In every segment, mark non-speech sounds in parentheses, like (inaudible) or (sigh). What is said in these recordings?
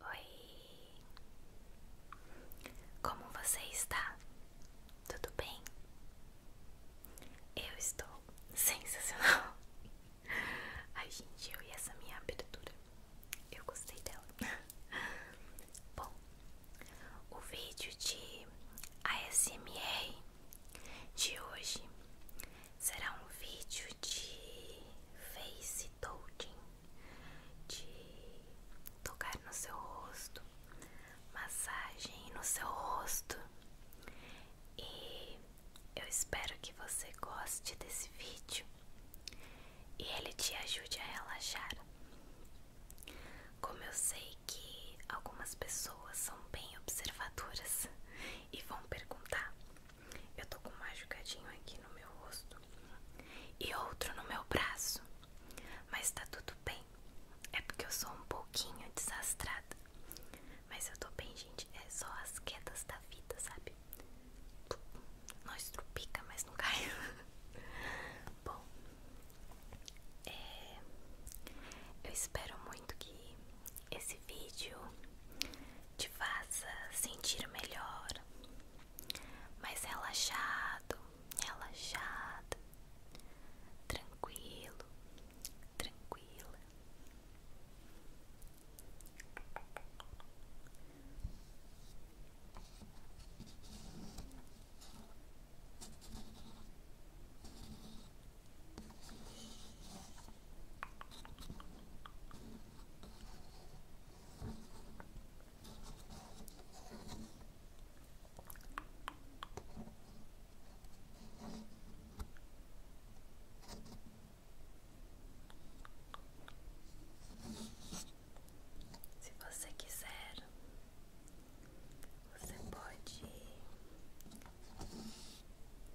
Oi, como você está? Tudo bem? Eu estou sensacional. (laughs) Ai, gente, eu e essa minha abertura, eu gostei dela. (laughs) Bom, o vídeo de ASMR de hoje será um vídeo de face touching, de tocar no seu rosto, massagem no seu rosto. E eu espero que você goste desse vídeo e ele te ajude a relaxar. Como eu sei que algumas pessoas são bem observadoras e vão perguntar eu tô com um machucadinho aqui no meu rosto e outro no meu braço, mas tá tudo bem. É porque eu sou um pouquinho desastrada, mas eu tô bem, gente. É só as quedas da vida, sabe? nós estrupica, mas não cai. (laughs) Bom, é, eu espero muito que esse vídeo te faça sentir melhor, mais relaxado, relaxado, tranquilo, tranquila. Se você quiser, você pode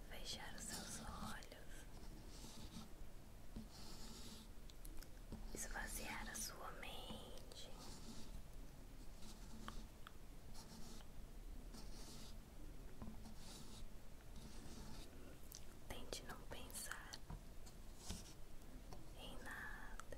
fechar os seus olhos esvaziar a sua mente. Tente não pensar em nada.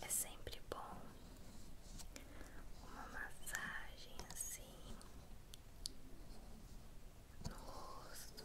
É sempre bom uma massagem assim no rosto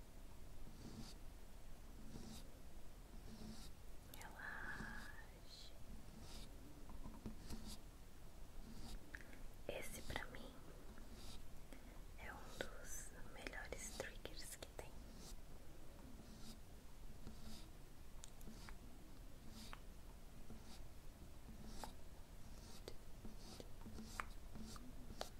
Relaxe. Esse pra mim é um dos melhores triggers que tem.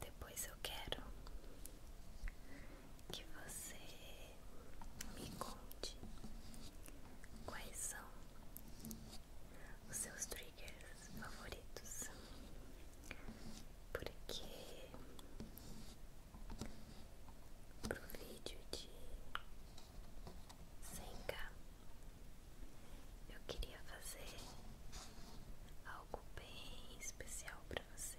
Depois eu quero que você me conte quais são os seus triggers favoritos, porque pro vídeo de 100k eu queria fazer algo bem especial para você.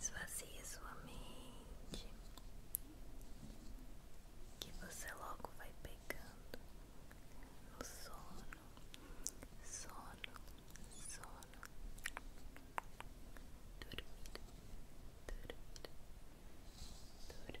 Esvazie sua mente, que você logo vai pegando no sono, sono, sono, dormir, dormir, dormir, dormir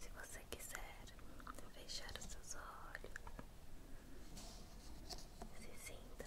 Se você quiser fechar os seus olhos, se sinta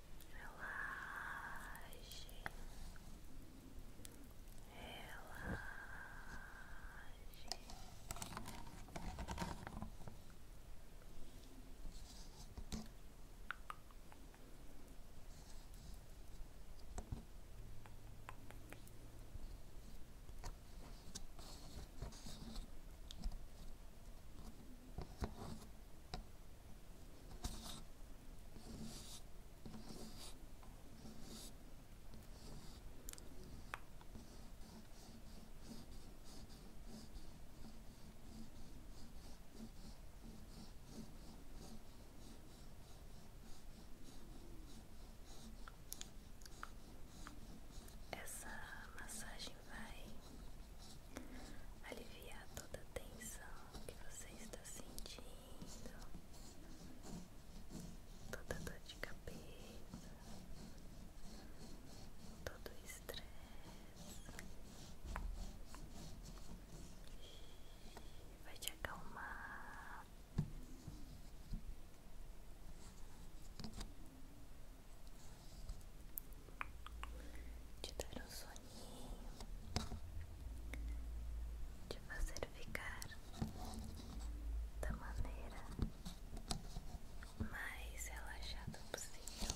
relaxe, relaxe. Essa massagem vai aliviar toda a tensão que você está sentindo, toda dor de cabeça, todo o estresse. Vai te acalmar. De dar um soninho, de fazer ficar da maneira mais relaxada possível.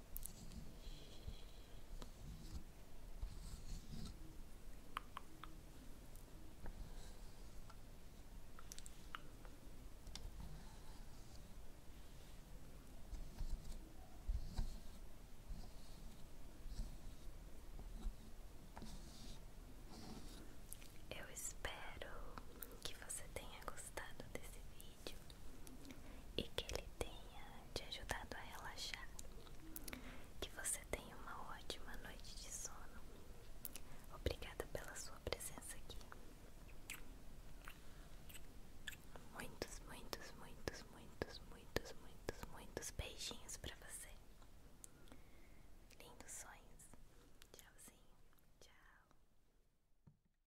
Eu espero que você tenha gostado gostado desse vídeo e que ele tenha te ajudado a relaxar. Que você tenha uma ótima noite de sono. Obrigada pela sua presença aqui. Muitos, muitos, muitos, muitos, muitos, muitos, muitos beijinhos para você. Lindos sonhos. Tchauzinho. Tchau.